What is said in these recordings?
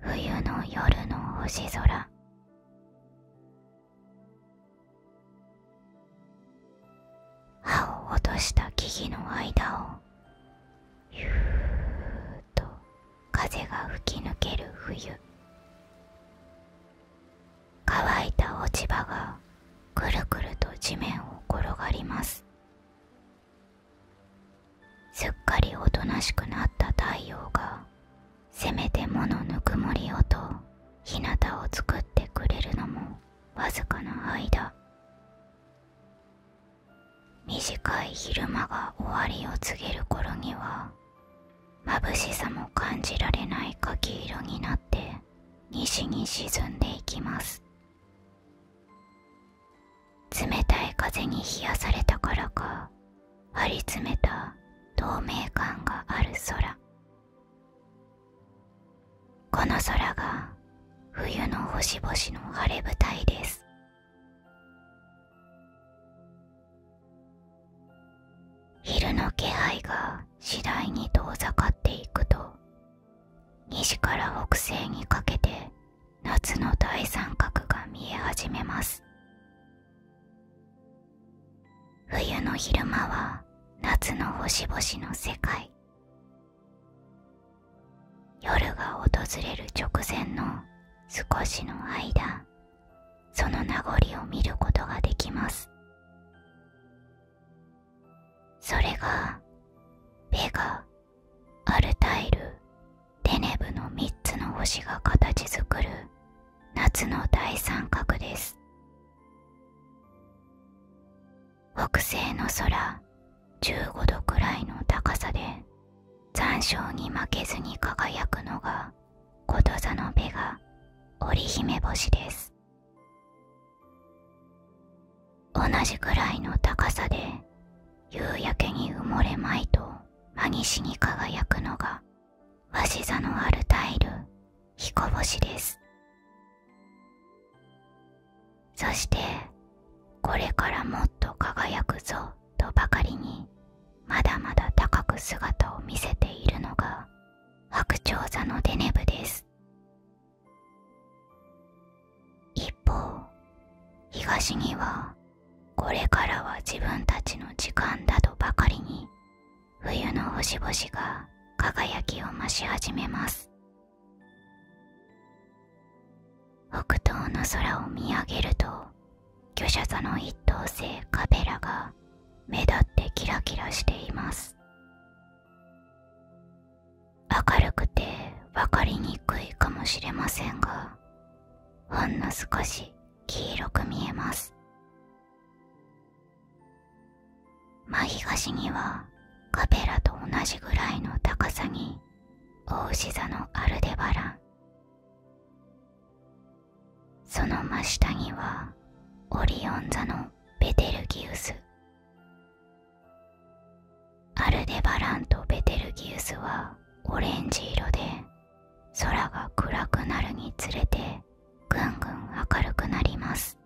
冬の夜の星空葉を落とした木々の間をゆーっと風が吹き抜ける冬乾いた落ち葉がくるくると地面を転がりますすっかりおとなしくなった太陽がせめてものぬくもりをと日向を作ってくれるのもわずかな間短い昼間が終わりを告げる頃には眩しさも感じられない柿色になって西に沈んでいきます冷たい風に冷やされたからか張り詰めた透明感がある空この空が冬の星々の晴れ舞台です昼の気配が次第に遠ざかっていくと西から北西にかけて夏の大三角が見え始めます冬の昼間は夏の星々の世界夜が訪れる直前の少しの間その名残を見ることができますそれがベガアルタイルテネブの3つの星が形作る夏の大三角です北西の空15度くらいの高さで残暑に負けずに輝くのがこと座のベガ織姫星です同じくらいの高さで夕焼けに埋もれまいと真西に輝くのが鷲座のあるタイル彦星ですそしてこれからもっと輝くぞとばかりにまだまだ高く姿を見せているのが白鳥座のデネブです一方東にはこれからは自分たちの時間だとばかりに冬の星々が輝きを増し始めます北東の空を見上げると巨者座の一等星カペラが目立ってキラキラしています明るくて分かりにくいかもしれませんがほんの少し黄色く見えます真東にはカペラと同じぐらいの高さに大牛座のアルデバランその真下にはオリオン座のベテルギウスアルデバランとベテルギウスはオレンジ色で空が暗くなるにつれてぐんぐん明るくなります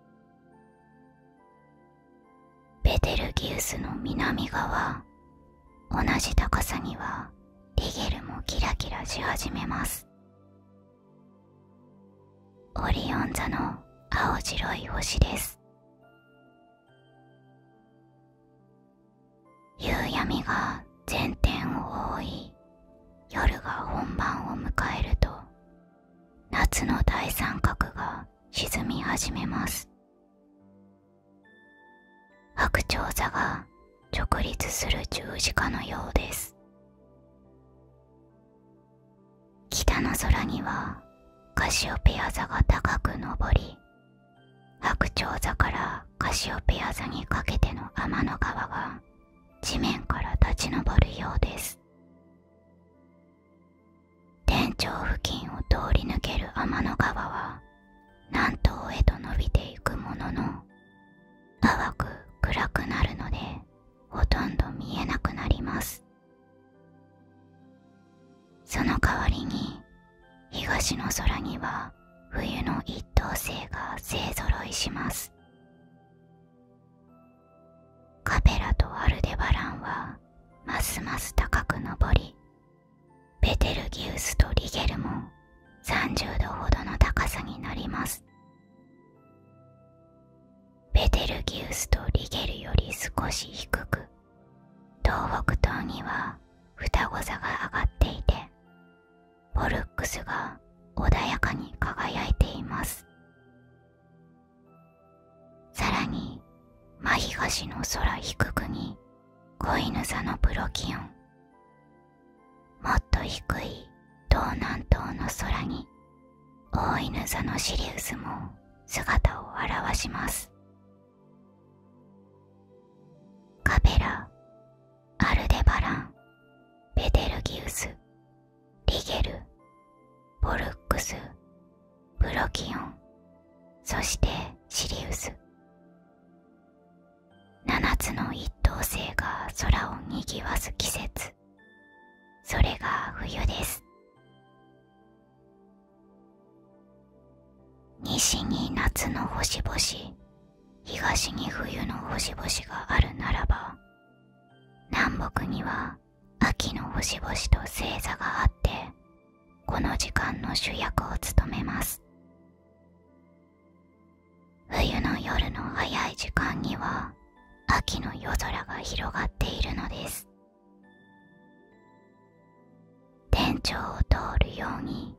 ベテルギウスの南側同じ高さにはリゲルもキラキラし始めますオリオン座の青白い星です夕闇が前転を覆い夜が本番を迎えると夏の大三角が沈み始めます白鳥座が直立する十字架のようです北の空にはカシオペア座が高く昇り白鳥座からカシオペア座にかけての天の川が地面から立ち上るようです天井付近を通り抜ける天の川は南東へと伸びていくものの淡く暗くなるのでほとんど見えなくなりますその代わりに東の空には冬の一等星が勢ぞろいしますカペラとアルデバランはますます高く登りベテルギウスとリゲルも30度ほどの高さになりますベテルギウスとリゲルより少し低く東北東には双子座が上がっていてポルックスが穏やかに輝いていますさらに真東の空低くに子犬座のプロキオンもっと低い東南東の空に大犬座のシリウスも姿を現しますカペラアルデバランベテルギウスリゲルボルックスブロキオンそしてシリウス7つの一等星が空をにぎわす季節それが冬です西に夏の星々東に冬の星々があるならば南北には秋の星々と星座があってこの時間の主役を務めます冬の夜の早い時間には秋の夜空が広がっているのです天井を通るように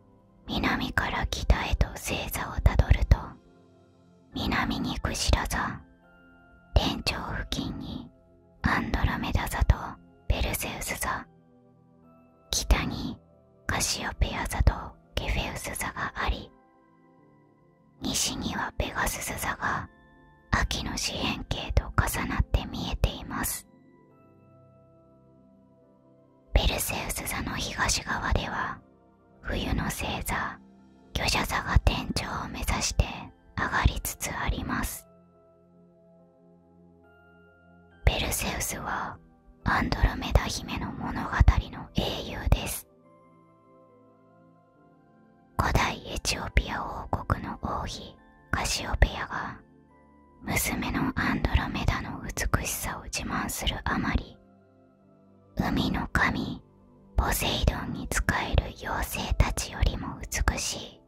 南から北へと星座をたどると南にクシラ座天井付近にアンドラメダ座とペルセウス座北にカシオペア座とケフェウス座があり西にはペガスス座が秋の四辺形と重なって見えていますペルセウス座の東側では冬の星座巨者座が天頂を目指して上がりつつありますペルセウスはアンドロメダ姫の物語の英雄です古代エチオピア王国の王妃カシオペアが娘のアンドロメダの美しさを自慢するあまり海の神ポセイドンに仕える妖精たちよりも美しい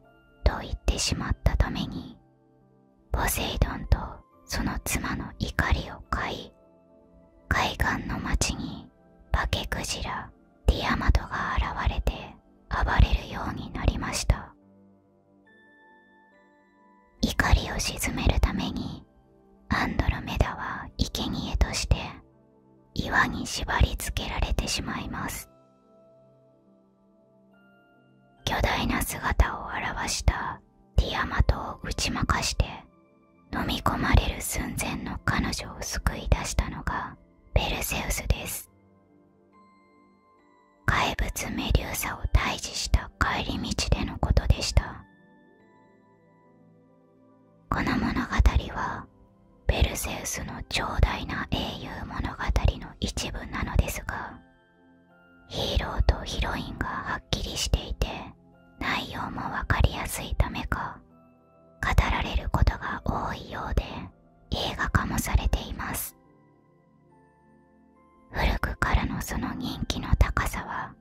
と言ってしまったためにポセイドンとその妻の怒りを買い海岸の町に化けクジラティアマトが現れて暴れるようになりました怒りを鎮めるためにアンドロメダは生贄として岩に縛り付けられてしまいます巨大な姿を現したティアマトを打ち負かして飲み込まれる寸前の彼女を救い出したのがペルセウスです怪物メデューサを退治した帰り道でのことでしたこの物語はペルセウスの長大な英雄物語の一部なのですがヒーローとヒロインがはっきりしていて内容も分かりやすいためか語られることが多いようで映画化もされています古くからのその人気の高さは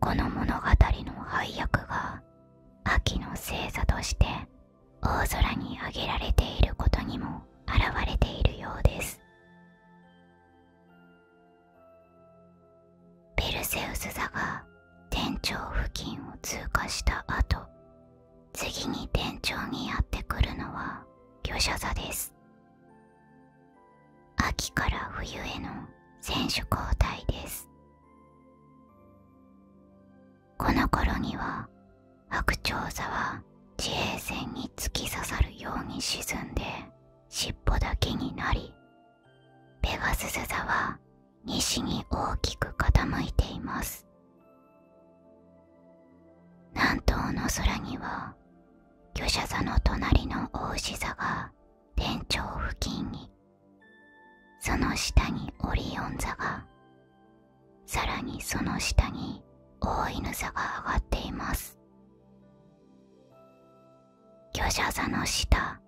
この物語の配役が秋の星座として大空に上げられていることにも表れているようですペルセウス座が店長付近を通過した後次に店長にやってくるのは魚舎座です秋から冬への選手交代ですこの頃には白鳥座は地平線に突き刺さるように沈んで尻尾だけになりペガスス座は西に大きく傾いています南東の空には巨社座の隣の大牛座が天頂付近にその下にオリオン座がさらにその下に大犬座が上がっています巨社座の下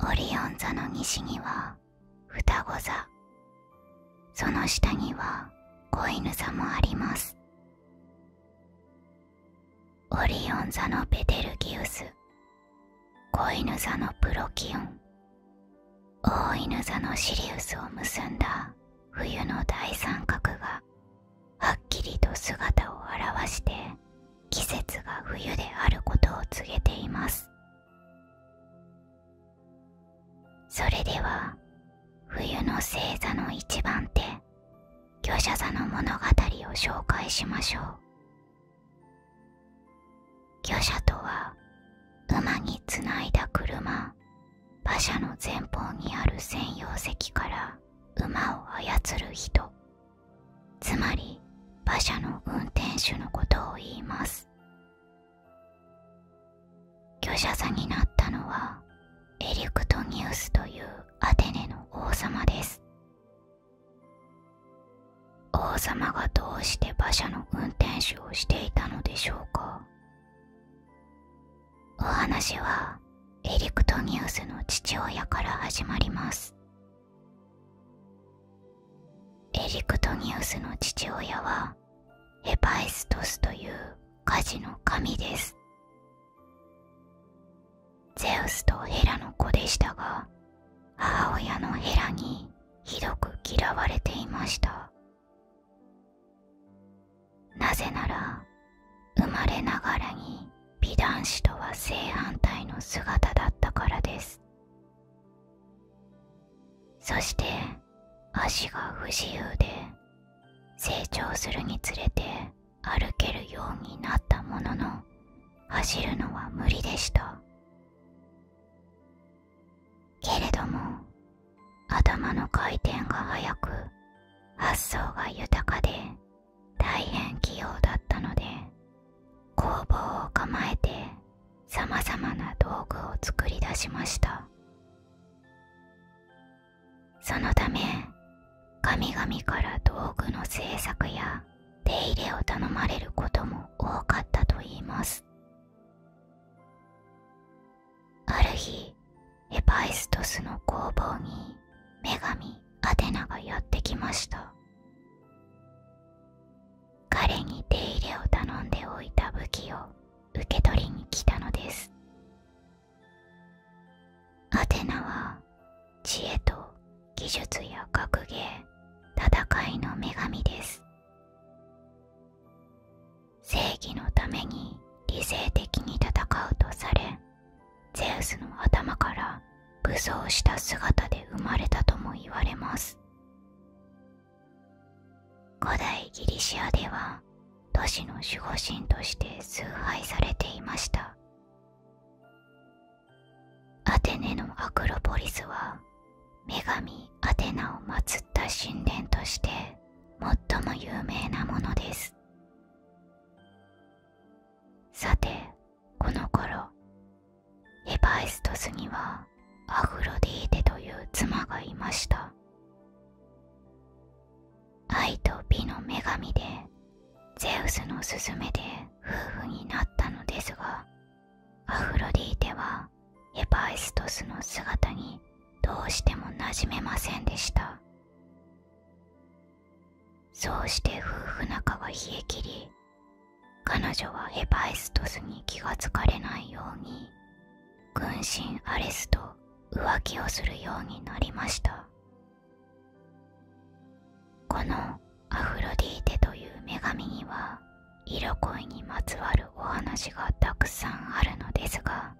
オリオン座の西には双子座その下には子犬座もありますオリオン座のベテルギウス子犬座のプロキオン大犬座のシリウスを結んだ冬の大三角がはっきりと姿を現して季節が冬であることを告げていますそれでは冬の星座の一番手魚者座の物語を紹介しましょう魚車とは馬につないだ車馬車の前方にある専用席から馬を操る人つまり馬車の運転手のことを言いますます者座になったのはエリクトニウスというアテネの王様です王様がどうして馬車の運転手をしていたのでしょうかお話はエリクトニウスの父親から始まりますエリクトニウスの父親はエパエストスという家事の神ですゼウスとヘラの子でしたが母親のヘラにひどく嫌われていましたなぜなら生まれながらに美男子とは正反対の姿だったからですそして足が不自由で成長するにつれて歩けるようになったものの走るのは無理でしたけれども頭の回転が速く発想が豊かで大変器用だったので工房を構えてさまざまな道具を作り出しましたそのため神々から道具の制作や手入れを頼まれることも多かったといいますある日ヘパイストスの工房に女神アテナがやってきました彼に手入れを頼んでおいた武器を受け取りに来たのですアテナは知恵と技術や格ゲー戦いの女神です正義のために理性的に戦うとされゼウスの頭から武装した姿で生まれたとも言われます古代ギリシアでは都市の守護神として崇拝されていましたアテネのアクロポリスは女神アテナを祀った神殿として最も有名なものですさてこの頃ヘバイストスにはアフロディーテという妻がいました愛と美の女神でゼウスの勧めで夫婦になったのですがアフロディーテはヘバイストスの姿にどうしてもなじめませんでしたそうして夫婦仲が冷え切り彼女はヘパイストスに気がつかれないように軍神アレスと浮気をするようになりましたこのアフロディーテという女神には色恋にまつわるお話がたくさんあるのですが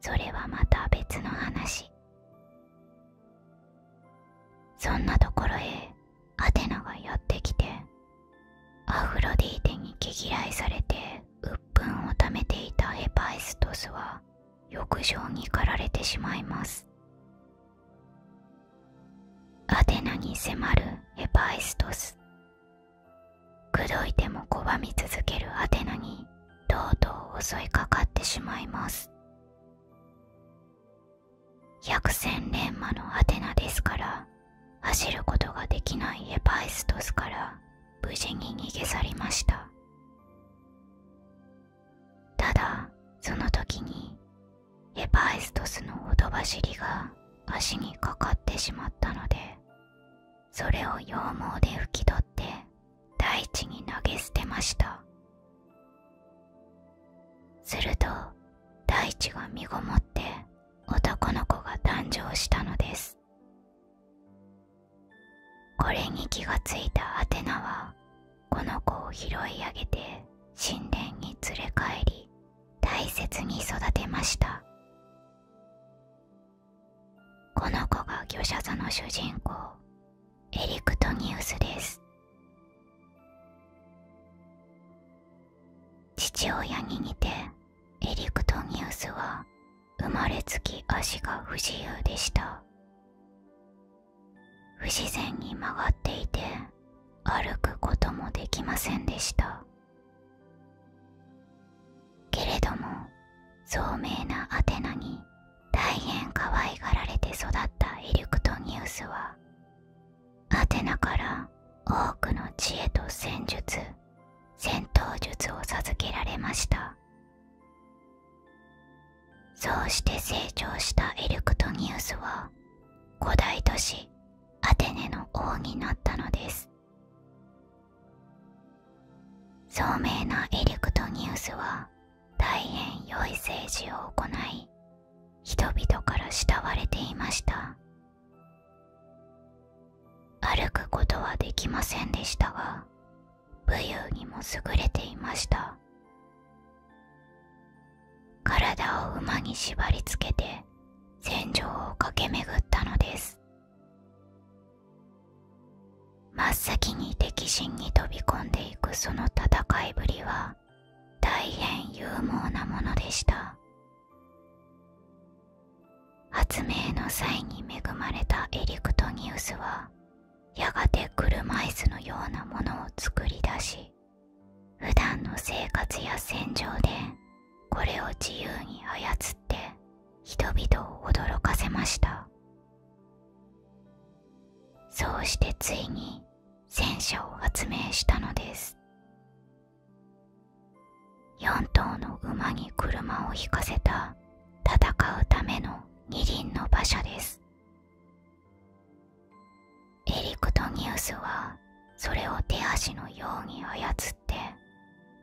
それはまた別の話そんなところへアテナがやってきてアフロディーテに毛嫌いされて鬱憤をためていたヘパイストスは浴場に駆られてしまいますアテナに迫るヘパイストス口説いても拒み続けるアテナにとうとう襲いかかってしまいます百戦錬磨のアテナですから走ることができないエパエストスから無事に逃げ去りましたただその時にエパエストスのほとばしりが足にかかってしまったのでそれを羊毛で拭き取って大地に投げ捨てましたすると大地が身ごもって男の子が誕生したのですこれに気がついたアテナはこの子を拾い上げて神殿に連れ帰り大切に育てましたこの子が魚者座の主人公エリクトニウスです父親に似てエリクトニウスは生まれつき足が不自由でした不自然に曲がっていて歩くこともできませんでしたけれども聡明なアテナに大変可愛がられて育ったエリクトニウスはアテナから多くの知恵と戦術戦闘術を授けられましたそうして成長したエルクトニウスは古代都市アテネの王になったのです聡明なエルクトニウスは大変良い政治を行い人々から慕われていました歩くことはできませんでしたが武勇にも優れていました体を馬に縛りつけて戦場を駆け巡ったのです真っ先に敵陣に飛び込んでいくその戦いぶりは大変勇猛なものでした発明の際に恵まれたエリクトニウスはやがて車椅子のようなものを作り出し普段の生活や戦場でこれを自由に操って人々を驚かせましたそうしてついに戦車を発明したのです4頭の馬に車を引かせた戦うための二輪の馬車ですエリクトニウスはそれを手足のように操って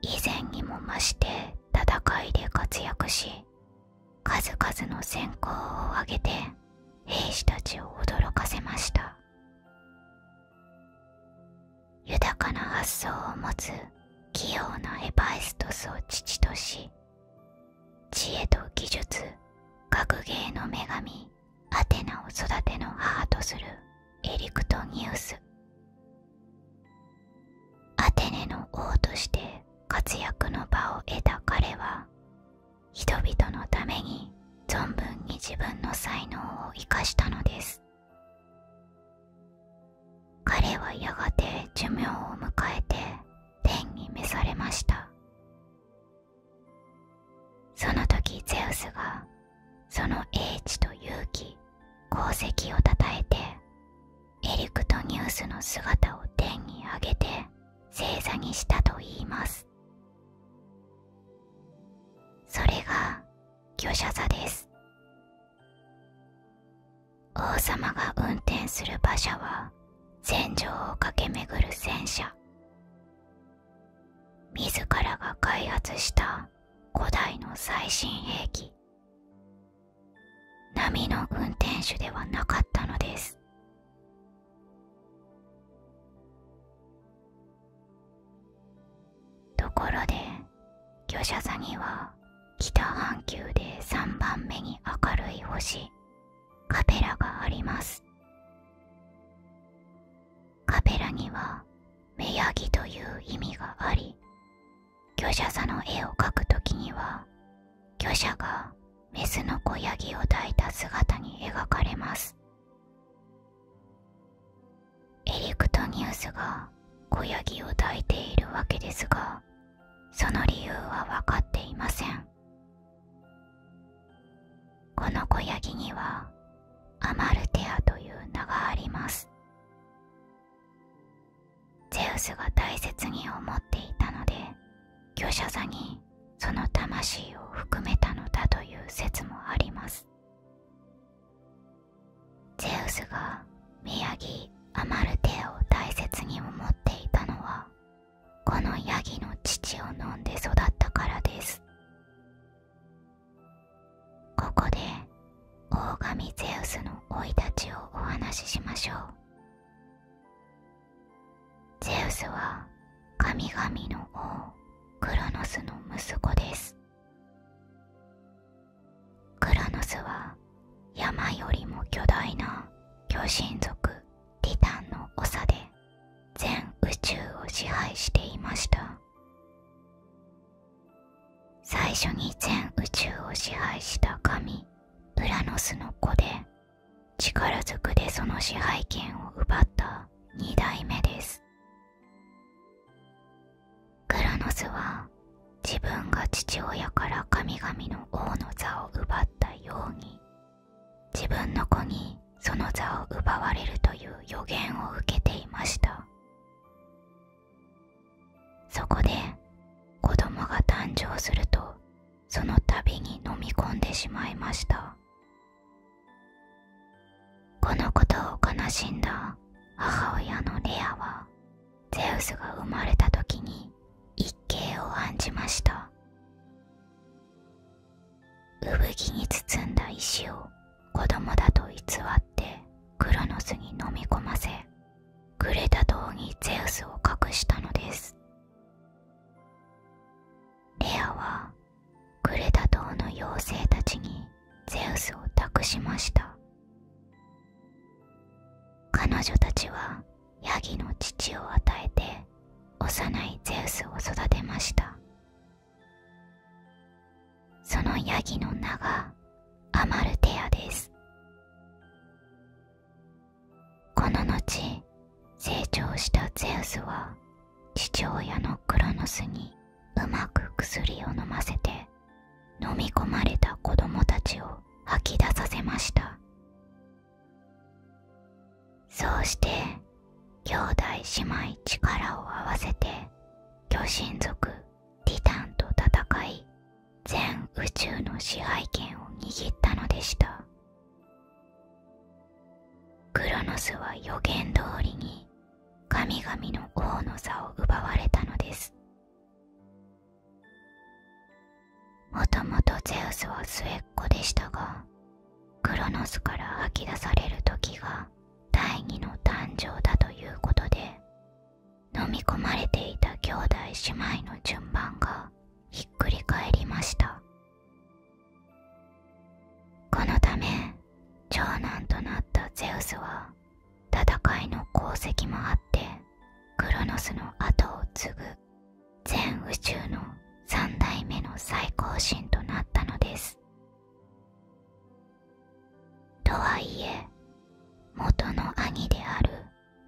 以前にも増して戦いで活躍し数々の選考を挙げて兵士たちを驚かせました豊かな発想を持つ器用なエパエストスを父とし知恵と技術学芸の女神アテナを育ての母とするエリクトニウスアテネの王として活躍の場を得た彼は人々のために存分に自分の才能を生かしたのです彼はやがて寿命を迎えて天に召されましたその時ゼウスがその英知と勇気功績をたたえてエリクトニウスの姿を天に上げて正座にしたといいますそれが御座です王様が運転する馬車は戦場を駆け巡る戦車自らが開発した古代の最新兵器波の運転手ではなかったのですところで魚舎座には北半球で3番目に明るい星カペラがありますカペラには目やぎという意味があり魚舎座の絵を描く時には魚舎がメスの子ヤギを抱いた姿に描かれますエリクトニウスが小ヤギを抱いているわけですがその理由は分かっていませんこの子ヤギにはアマルテアという名がありますゼウスが大切に思っていたので巨者座にその魂を含めたのだという説もありますゼウスが宮城アマルテを大切に思っていたのはこのヤギの乳を飲んで育ったからですここでオオガミゼウスの生い立ちをお話ししましょうゼウスは神々の王クロノスの息子ですクラノスは山よりも巨大な巨神族ティタンの長で全宇宙を支配していました最初に全宇宙を支配した神ウラノスの子で力ずくでその支配権を奪った2代目ですクラノスは自分が父親から神々の王の座を奪ったように自分の子にその座を奪われるという予言を受けていましたそこで子供が誕生するとその度に飲み込んでしまいましたこのことを悲しんだ母親のレアはゼウスが生まれた時に一計を案じました産着に包んだ石を子供だと偽ってクロノスに飲み込ませクレタ島にゼウスを隠したのですレアはクレタ島の妖精たちにゼウスを託しました彼女たちはヤギの乳を与えて幼いゼウスを育てましたそのヤギの名がアマルテアですこの後成長したゼウスは父親のクロノスにうまく薬を飲ませて飲み込まれた子供たちを吐き出させましたそうして兄弟姉妹力を合わせて巨神族ティタンと戦い全宇宙の支配権を握ったのでしたクロノスは予言通りに神々の王の座を奪われたのですもともとゼウスは末っ子でしたがクロノスから吐き出される時が第二の誕生だということで飲み込まれていた兄弟姉妹の順番がひっくり返りましたこのため長男となったゼウスは戦いの功績もあってクロノスの後を継ぐ全宇宙の三代目の最高神となったのですとはいえ元の兄である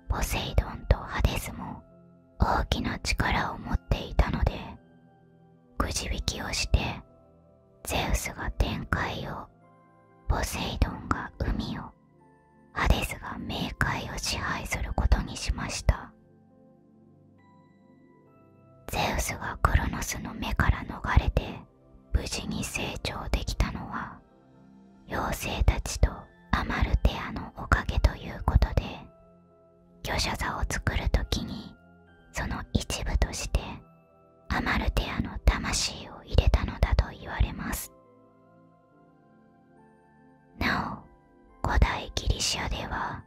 ポセイドンとハデスも大きな力を持っていたのでくじ引きをしてゼウスが天界をポセイドンが海をハデスが冥界を支配することにしましたゼウスがクロノスの目から逃れて無事に成長できたのは妖精たちとアマルテアのおかげということで魚舎座を作る時にその一部としてアマルテアの魂を入れたのだと言われますなお古代ギリシアでは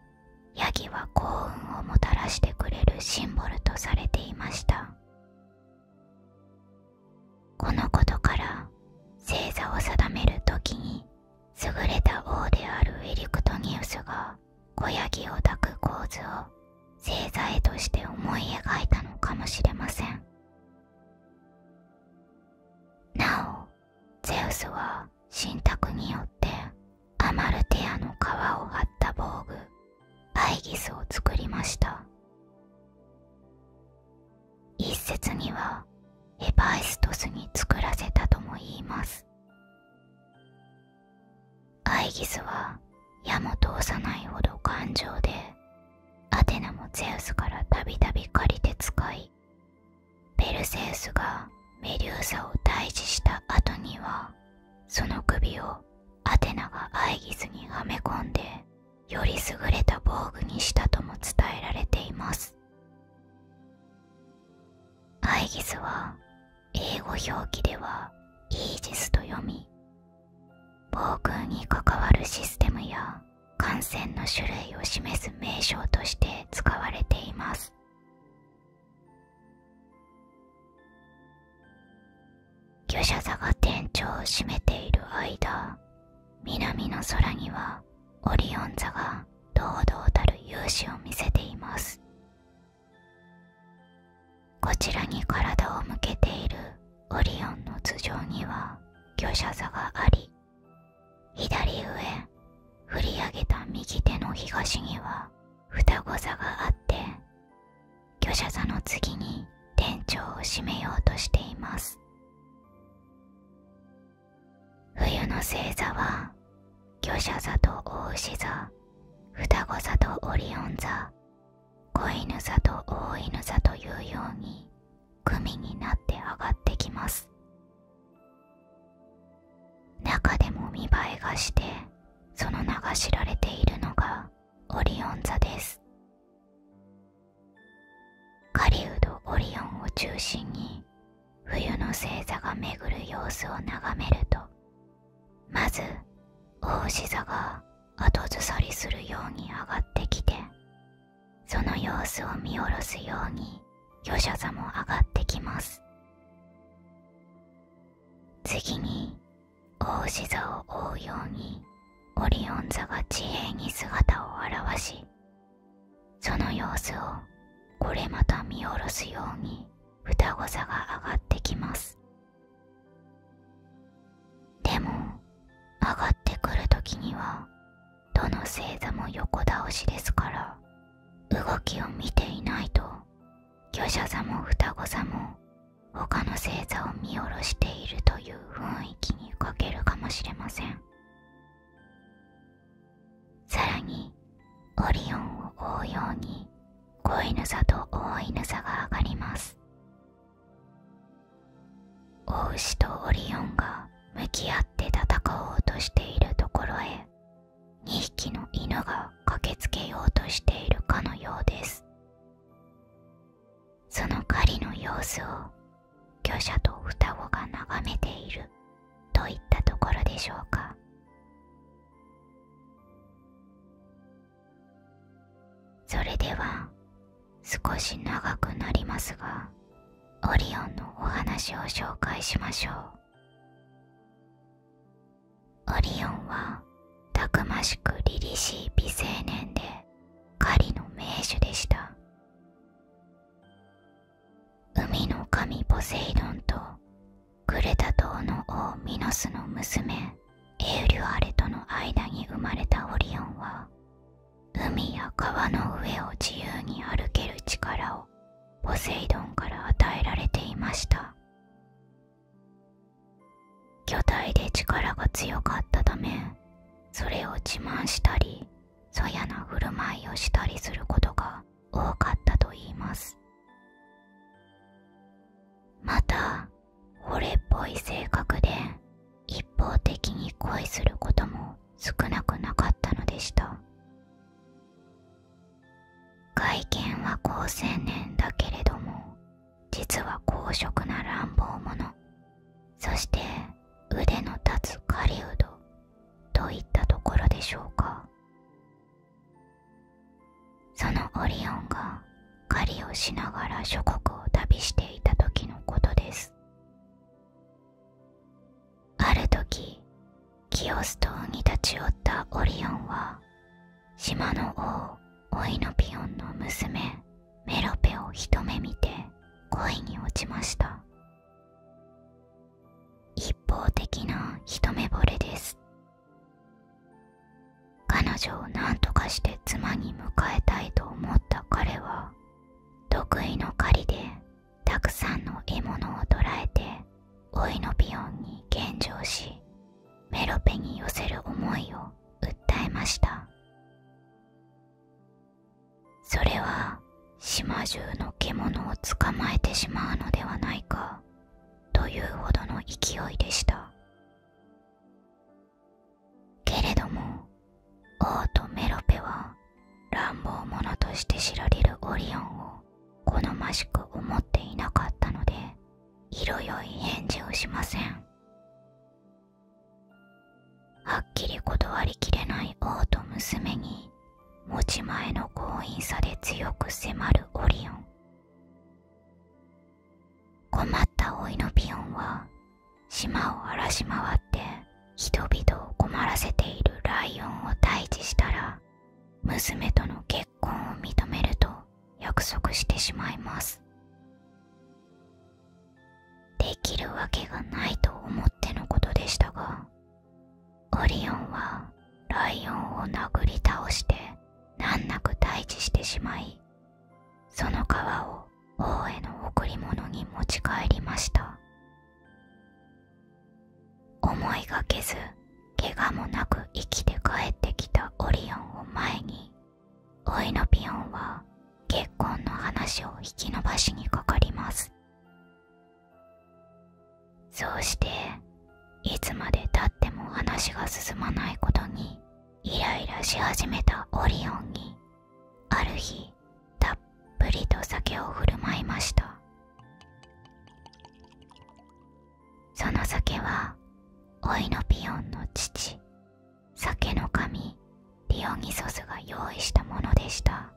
ヤギは幸運をもたらしてくれるシンボルとされていましたこのことから星座を定める時に優れた王であるエリクトニウスが子ヤギを抱く構図を星座絵として思い描いたのかもしれませんなおゼウスは信託によってアマルテアの皮を張った防具アイギスを作りました一説にはエバイストスに作らせたとも言いますアイギスは矢も通さないほど頑丈でアテナもゼウスから度々借りて使いペルセウスがメリューサを退治した後にはその首をアテナがアイギスにはめ込んでより優れた防具にしたとも伝えられていますアイギスは英語表記ではイージスと読み防空に関わるシステムや感染の種類を示す名称として使われています魚舎座が天頂を占めている間南の空にはオリオン座が堂々たる勇姿を見せていますこちらに体を向けているオリオンの頭上には巨車座があり左上振り上げた右手の東には双子座があって巨車座の次に天頂を締めようとしています冬の星座は魚舎座と大牛座双子座とオリオン座子犬座と大犬座というように組になって上がってきます中でも見栄えがしてその名が知られているのがオリオン座です狩人オリオンを中心に冬の星座が巡る様子を眺めるとまず大志座が後ずさりするように上がってきてその様子を見下ろすように夜叉座も上がってきます次に大志座を追うようにオリオン座が地平に姿を現しその様子をこれまた見下ろすように双子座が上がってきますでも上がってくる時にはどの星座も横倒しですから動きを見ていないと魚者座も双子座も他の星座を見下ろしているという雰囲気に欠けるかもしれませんさらにオリオンを追うように子犬座と大犬座が上がります大牛とオリオンが向き合って戦おうとしているところへ2匹の犬が駆けつけようとしているかのようですその狩りの様子を巨者と双子が眺めているといったところでしょうかそれでは少し長くなりますがオリオンのお話を紹介しましょうオリオンはたくましく凛々しい美青年で狩りの名手でした海の神ポセイドンとクレタ島の王ミノスの娘エウリュアレとの間に生まれたオリオンは海や川の上を自由に歩ける力をポセイドンから与えられていました巨体で力が強かったためそれを自慢したりそやな振る舞いをしたりすることが多かったといいますまた俺っぽい性格で一方的に恋することも少なくなかったのでした外見は好青年だけれども実は公職な乱暴者そして腕の立つ狩人といったところでしょうかそのオリオンが狩りをしながら諸国を旅していた時のことですある時キオス島に立ち寄ったオリオンは島の王オイノピオンの娘メロペを一目見て恋に落ちました一方的な一目惚れです彼女を何とかして妻に迎えたいと思った彼は得意の狩りでたくさんの獲物を捕らえてオイノピオンに献上しメロペに寄せる思いを訴えましたそれは島中の獣を捕まえてしまうのではないかというほどの勢いでしたけれども王とメロペは乱暴者として知られるオリオンを好ましく思っていなかったので色よい返事をしませんはっきり断りきれない王と娘に持ち前の強引さで強く迫るオリオン困った老いのピオンは島を荒らし回って人々を困らせているライオンを退治したら娘との結婚を認めると約束してしまいますできるわけがないと思ってのことでしたがオリオンはライオンを殴り倒して難なく退治してしまいその川を王への贈り物に持ち帰りました思いがけず怪我もなく生きて帰ってきたオリオンを前にオイノピオンは結婚の話を引き延ばしにかかりますそうしていつまでたっても話が進まないことにイライラし始めたオリオンにある日たっぷりと酒を振る舞いましたその酒はオイノピオンの父酒の神ディオニソスが用意したものでした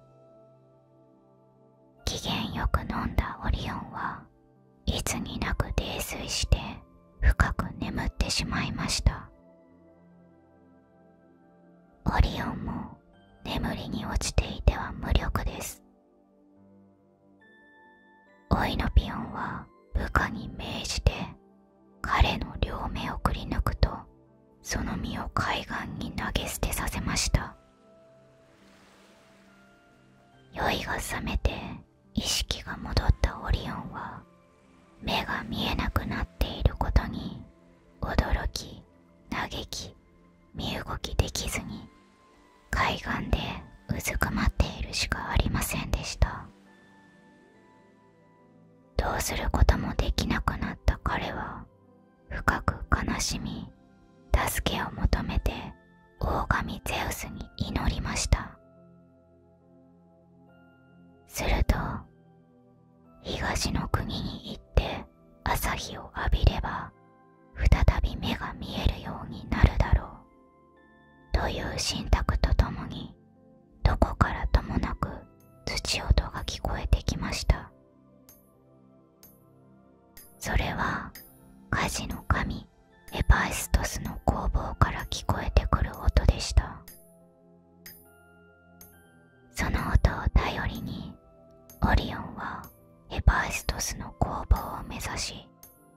機嫌よく飲んだオリオンはいつになく泥酔して深く眠ってしまいました。オリオンも眠りに落ちていては無力です。オイノピオンは部下に命じて彼の両目をくりぬくとその身を海岸に投げ捨てさせました酔いが覚めて意識が戻ったオリオンは目が見えなくなっていることに驚き嘆き身動きできずに海岸でうずくまっているしかありませんでしたどうすることもできなくなった彼は深く悲しみ助けを求めて大神ゼウスに祈りましたすると東の国に行って朝日を浴びれば再び目が見えるようになるだろうという信託とともにどこからともなく土音が聞こえてきましたそれは火事の神エパイストスの攻防から聞こえてくる音でしたその音を頼りにオリオンはエパイストスの攻防を目指し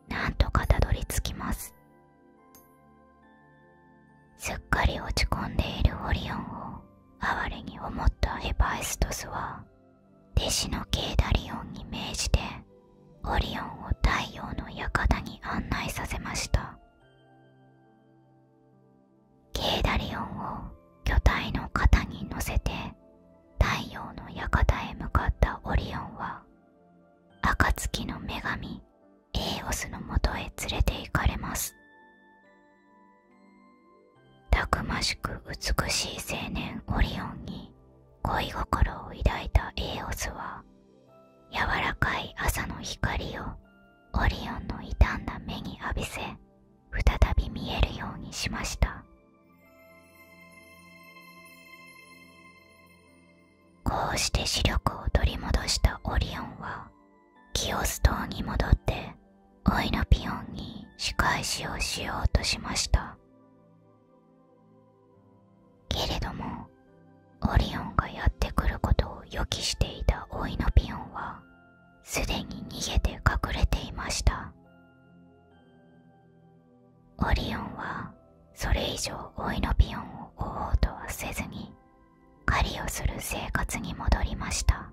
なんとかたどり着きますすっかり落ち込んでいるオリオンを哀れに思ったエパイストスは弟子のケイダリオンに命じてオリオンを太陽の館に案内させましたケーダリオンを巨体の肩に乗せて太陽の館へ向かったオリオンは暁の女神エーオスのもとへ連れて行かれますたくましく美しい青年オリオンに恋心を抱いたエーオスは柔らかい朝の光をオリオンの傷んだ目に浴びせ再び見えるようにしましたこうして視力を取り戻したオリオンはキオス島に戻ってオイノピオンに仕返しをしようとしましたけれどもオリオンがやってくることを予期していたオイノピオンはすでに逃げて隠れていましたオリオンはそれ以上オイノピオンを追おうとはせずに狩りをする生活に戻りました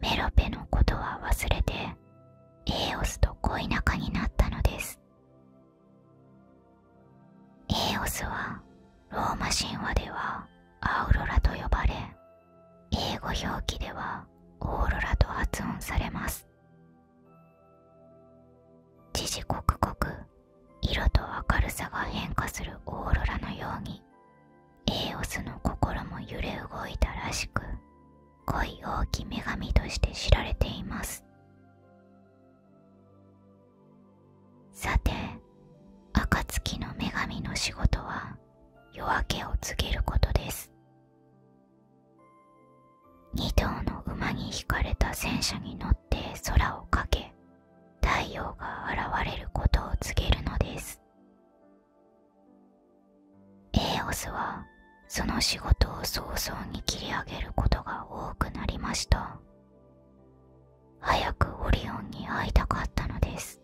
メロペのことは忘れてエーオスと恋仲になったのですエーオスはローマ神話ではアウロラと呼ばれ英語表記ではオーロラと発音されます時々刻々色と明るさが変化するオーロラのようにエーオスの心も揺れ動いたらしく恋多き女神として知られていますさて暁の女神の仕事は夜明けを告げることです2頭の馬に引かれた戦車に乗って空を駆け太陽が現れることを告げるのですエーオスはその仕事を早々に切り上げることが多くなりました早くオリオンに会いたかったのです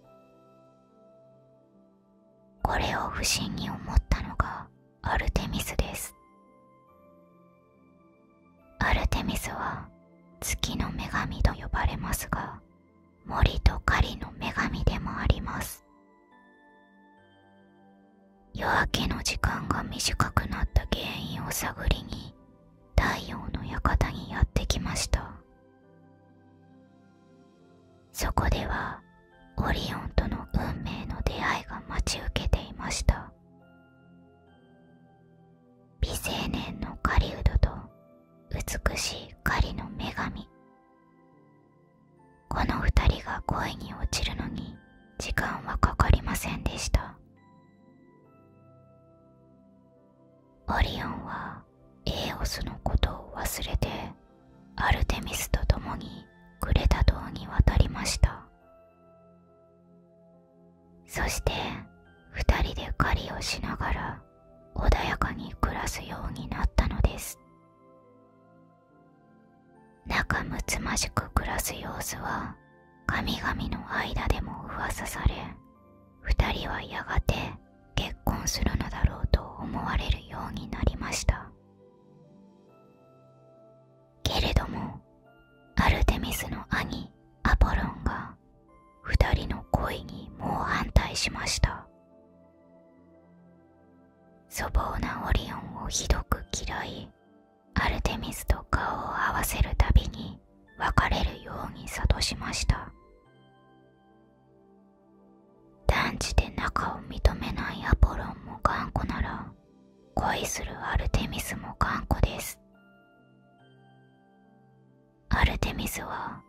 これを不審に思ったのがアルテミスですアルテミスは月の女神と呼ばれますが森と狩りの女神でもあります夜明けの時間が短くなった原因を探りに太陽の館にやってきましたそこではオリオンとの運命の出会いが待ち受けていました美青年の狩人と美しい狩りの女神この2人が恋に落ちるのに時間はかかりませんでしたオリオンはエーオスのことを忘れてアルテミスと共にグレタ島に渡りましたそして2人で狩りをしながら穏やかに暮らすようになったのです仲睦まじく暮らす様子は神々の間でも噂され二人はやがて結婚するのだろうと思われるようになりましたけれどもアルテミスの兄アポロンが二人の恋に猛反対しました粗暴なオリオンをひどく嫌いアルテミスと顔を合わせるたびに別れるように諭しました断じて仲を認めないアポロンも頑固なら恋するアルテミスも頑固ですアルテミスは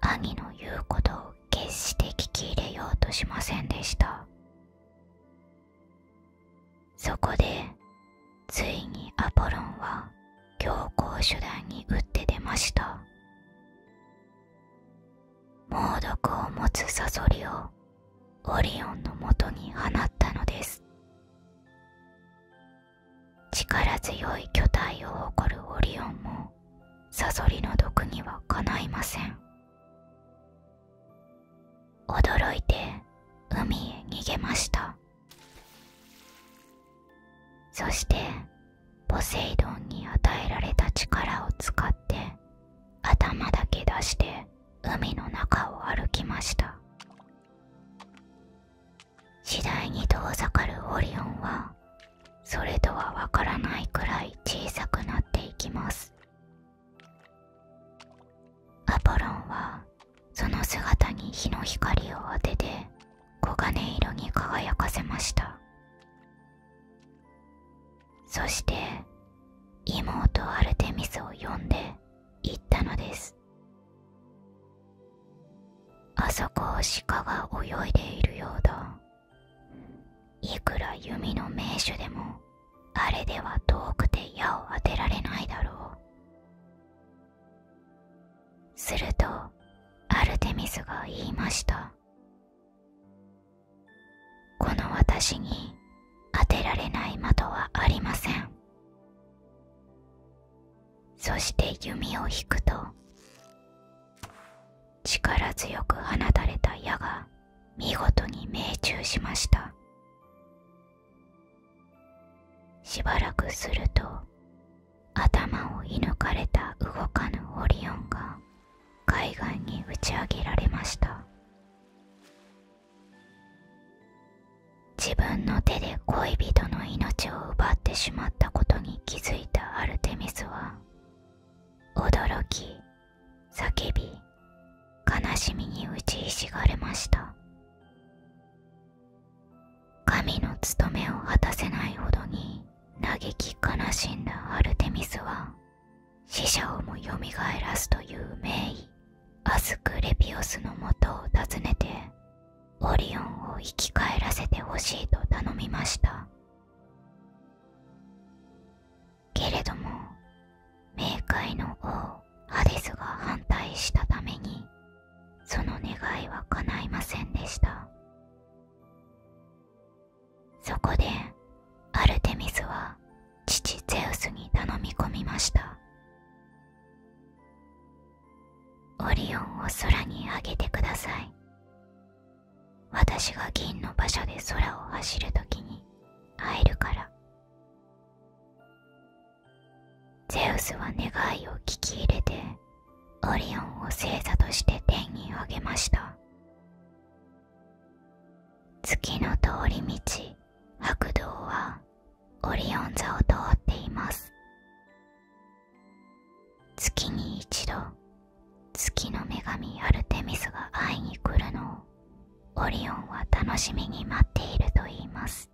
兄の言うことを決して聞き入れようとしませんでしたそこでついにアポロンは強硬手段に打って出ました猛毒を持つサソリをオリオンのもとに放ったのです力強い巨体を誇るオリオンもサソリの毒にはかないません驚いて海へ逃げましたそしてポセイドンに与えられた力を使って頭だけ出して海の中を歩きました次第に遠ざかるオリオンはそれとはわからないくらい小さくなっていきますアポロンはその姿に日の光を当てて黄金色に輝かせましたそして妹アルテミスを呼んで行ったのですあそこを鹿が泳いでいるようだいくら弓の名手でもあれでは遠くて矢を当てられないだろうするとアルテミスが言いましたこの私に当てられない的はありませんそして弓を引くと力強く放たれた矢が見事に命中しましたしばらくすると頭を射抜かれた動かぬオリオンが海岸に打ち上げられました自分の手で恋人の命を奪ってしまったことに気づいたアルテミスは驚き叫び悲しみに打ちひしがれました神の務めを果たせないほどに嘆き悲しんだアルテミスは死者をもよみがえらすという名医アスクレピオスのもとを訪ねてオリオンを生き返らせてほしいと頼みましたけれども冥界の王ハデスが反対したためにその願いは叶いませんでしたそこでアルテミスは父ゼウスに頼み込みましたオリオンを空にあげてください私が銀の馬車で空を走る時に会えるからゼウスは願いを聞き入れてオリオンを星座として天にあげました月の通り道白道はオリオン座を通っています月に一度月の女神アルテミスが会いに来るのをオリオンは楽しみに待っているといいます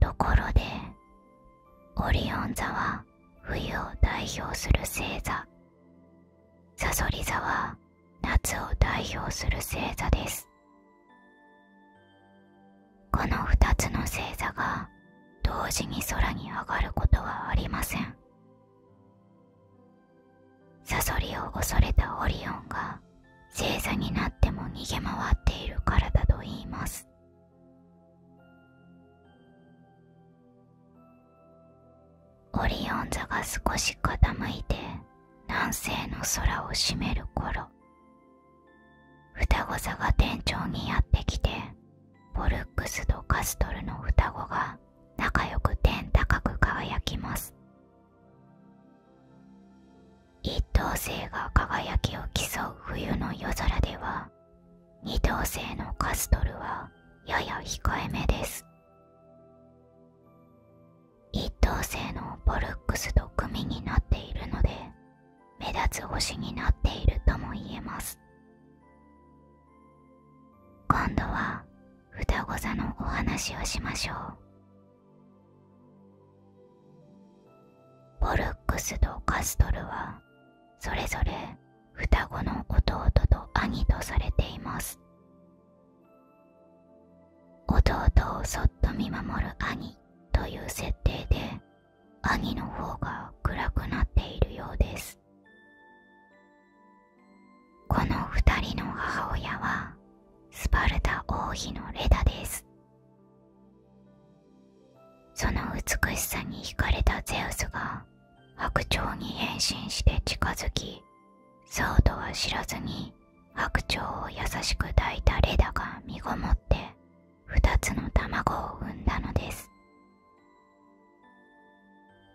ところでオリオン座は冬を代表する星座さそり座は夏を代表する星座ですこの2つの星座が同時に空に上がることはありませんサソリを恐れたオリオンが正座になっても逃げ回っているからだといいますオリオン座が少し傾いて南西の空を占める頃双子座が天頂にやってきてポルックスとカストルの双子が仲良く天高く輝きます一等星が輝きを競う冬の夜空では二等星のカストルはやや控えめです一等星のボルックスと組になっているので目立つ星になっているとも言えます今度は双子座のお話をしましょうボルックスとカストルはそれぞれ双子の弟と兄とされています弟をそっと見守る兄という設定で兄の方が暗くなっているようですこの2人の母親はスパルタ王妃のレダですその美しさに惹かれたゼウスが白鳥に変身して近づきそうとは知らずに白鳥を優しく抱いたレダが身ごもって2つの卵を産んだのです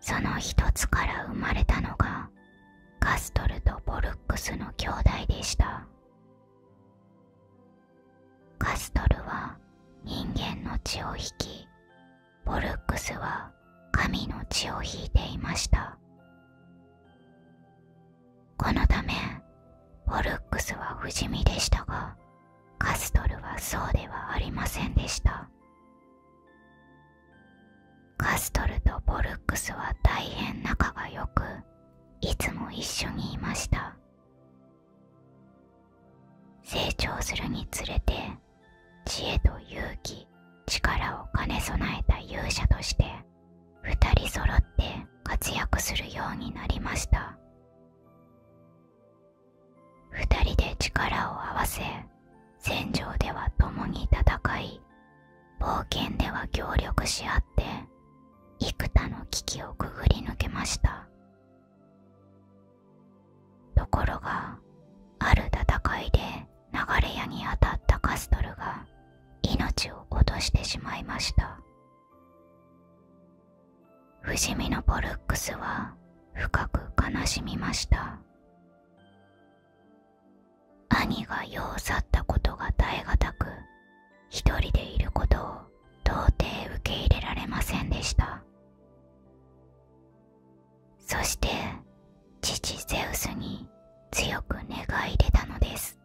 その一つから生まれたのがカストルとボルックスの兄弟でしたカストルは人間の血を引きボルックスは神の血を引いていましたこのためボルックスは不死身でしたがカストルはそうではありませんでしたカストルとボルックスは大変仲が良くいつも一緒にいました成長するにつれて知恵と勇気力を兼ね備えた勇者として2人揃って活躍するようになりました2人で力を合わせ戦場では共に戦い冒険では協力し合って幾多の危機をくぐり抜けましたところがある戦いで流れ矢に当たったカストルが命を落としてしまいました不死身のポルックスは深く悲しみました兄が世を去ったことが耐え難く一人でいることを到底受け入れられませんでしたそして父ゼウスに強く願い出たのです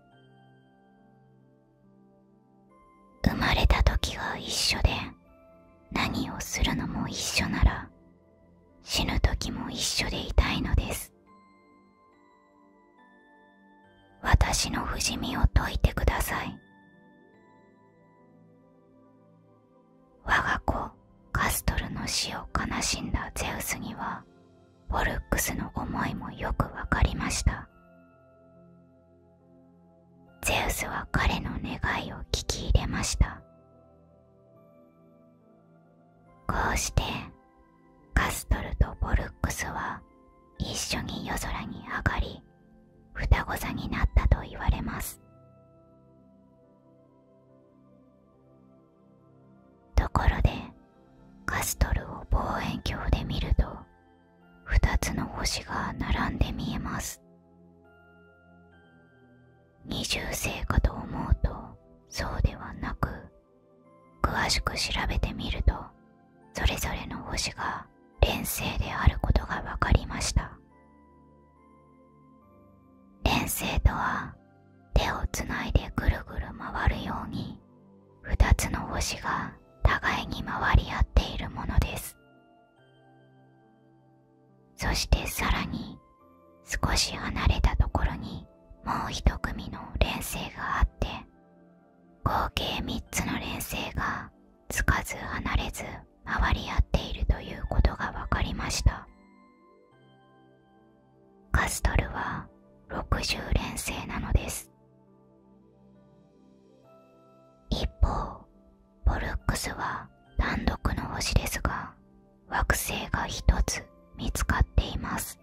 生まれた時が一緒で何をするのも一緒なら死ぬ時も一緒でいたいのです私の不死身を解いてください我が子カストルの死を悲しんだゼウスにはフォルックスの思いもよくわかりましたゼウスは彼の願いを聞き入れましたこうしてカストルとボルックスは一緒に夜空に上がり双子座になったと言われますところでカストルを望遠鏡で見ると2つの星が並んで見えます二重性かと思うとそうではなく詳しく調べてみるとそれぞれの星が連星であることが分かりました連星とは手をつないでぐるぐる回るように2つの星が互いに回り合っているものですそしてさらに少し離れたところにもう一組の連星があって合計3つの連星がつかず離れず回り合っているということが分かりましたカストルは60連星なのです一方ポルックスは単独の星ですが惑星が1つ見つかっています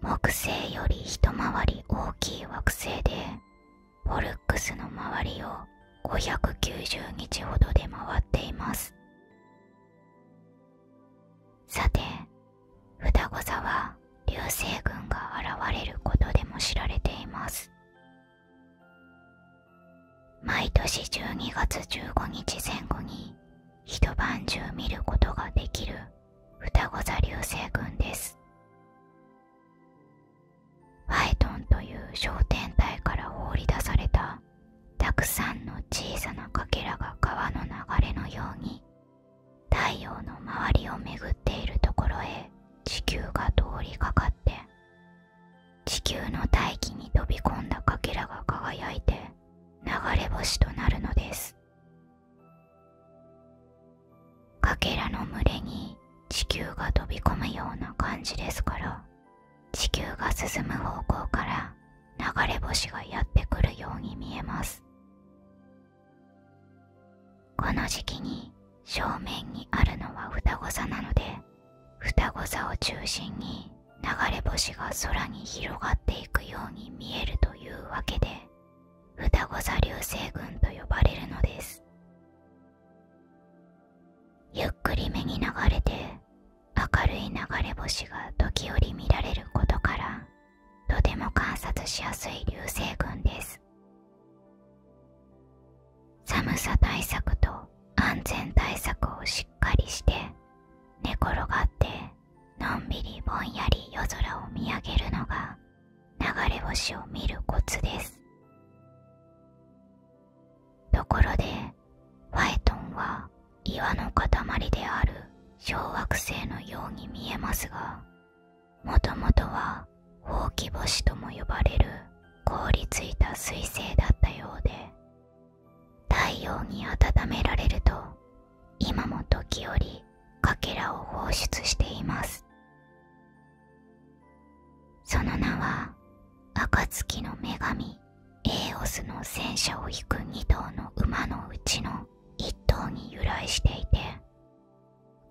木星より一回り大きい惑星でポルックスの周りを590日ほどで回っていますさて双子座は流星群が現れることでも知られています毎年12月15日前後に一晩中見ることができる双子座流星群ですフイトンという商店体から放り出されたたくさんの小さなかけらが川の流れのように太陽の周りを巡っているところへ地球が通りかかって地球の大気に飛び込んだかけらが輝いて流れ星となるのですかけらの群れに地球が飛び込むような感じですから地球が進む方向から流れ星がやってくるように見えますこの時期に正面にあるのは双子座なので双子座を中心に流れ星が空に広がっていくように見えるというわけで双子座流星群と呼ばれるのですゆっくり目に流れて明るい流れ星が時折見られることからとても観察しやすい流星群です寒さ対策と安全対策をしっかりして寝転がってのんびりぼんやり夜空を見上げるのが流れ星を見るコツですところでファイトンは岩の塊である小惑星のように見えますがもともとはほうき星とも呼ばれる凍りついた彗星だったようで太陽に温められると今も時折かけらを放出していますその名は暁の女神エーオスの戦車を引く2頭の馬のうちの1頭に由来していて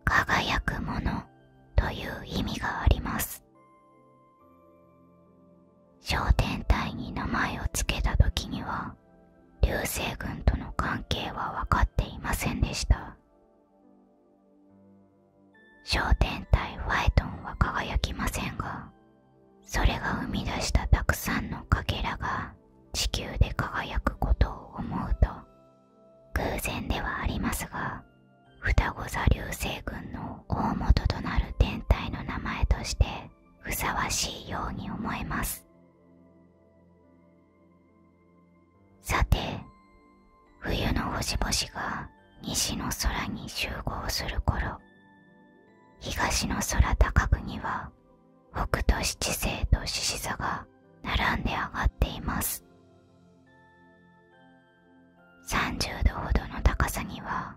輝くものという意味があります小天体に名前を付けた時には流星群との関係は分かっていませんでした小天体ファイトンは輝きませんがそれが生み出したたくさんのかけらが地球で輝くことを思うと偶然ではありますが双子座流星群の大元となる天体の名前としてふさわしいように思えますさて冬の星々が西の空に集合する頃東の空高くには北斗七星と獅子座が並んで上がっています30 ° c ほどの高さには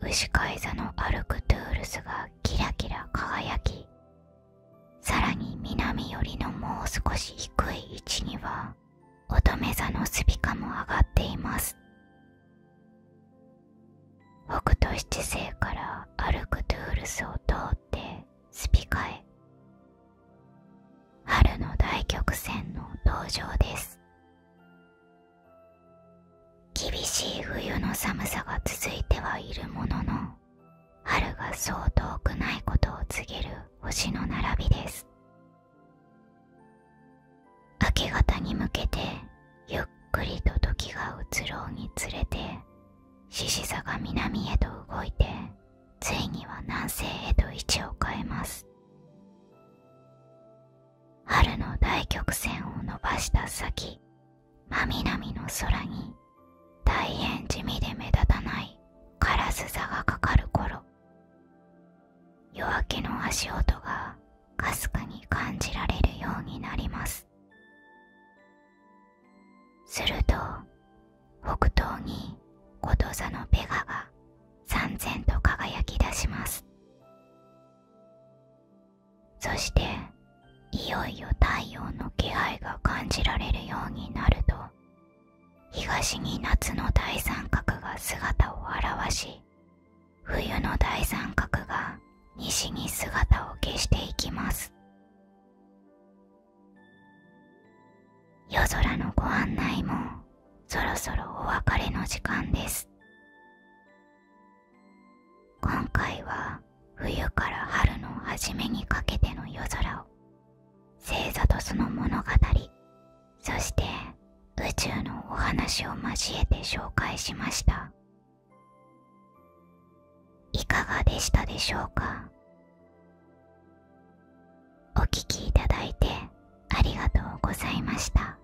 牛飼い座の歩くトゥールスがキラキラ輝きさらに南寄りのもう少し低い位置には乙女座のスピカも上がっています北斗七星から歩くトゥールスを通ってスピカへ春の大曲線の登場です厳しい冬の寒さが続いてはいるものの春がそう遠くないことを告げる星の並びです明け方に向けてゆっくりと時が移ろうにつれて獅子座が南へと動いてついには南西へと位置を変えます春の大曲線を伸ばした先真南の空に大変地味で目立たないカラス座がかかる頃夜明けの足音がかすかに感じられるようになりますすると北東にこと座のペガがさんと輝き出しますそしていよいよ太陽の気配が感じられるようになると東に夏の大三角が姿を現し冬の大三角が西に姿を消していきます夜空のご案内もそろそろお別れの時間です今回は冬から春の初めにかけての夜空を星座とその物語そして宇宙のお話を交えて紹介しましたいかがでしたでしょうかお聴きいただいてありがとうございました。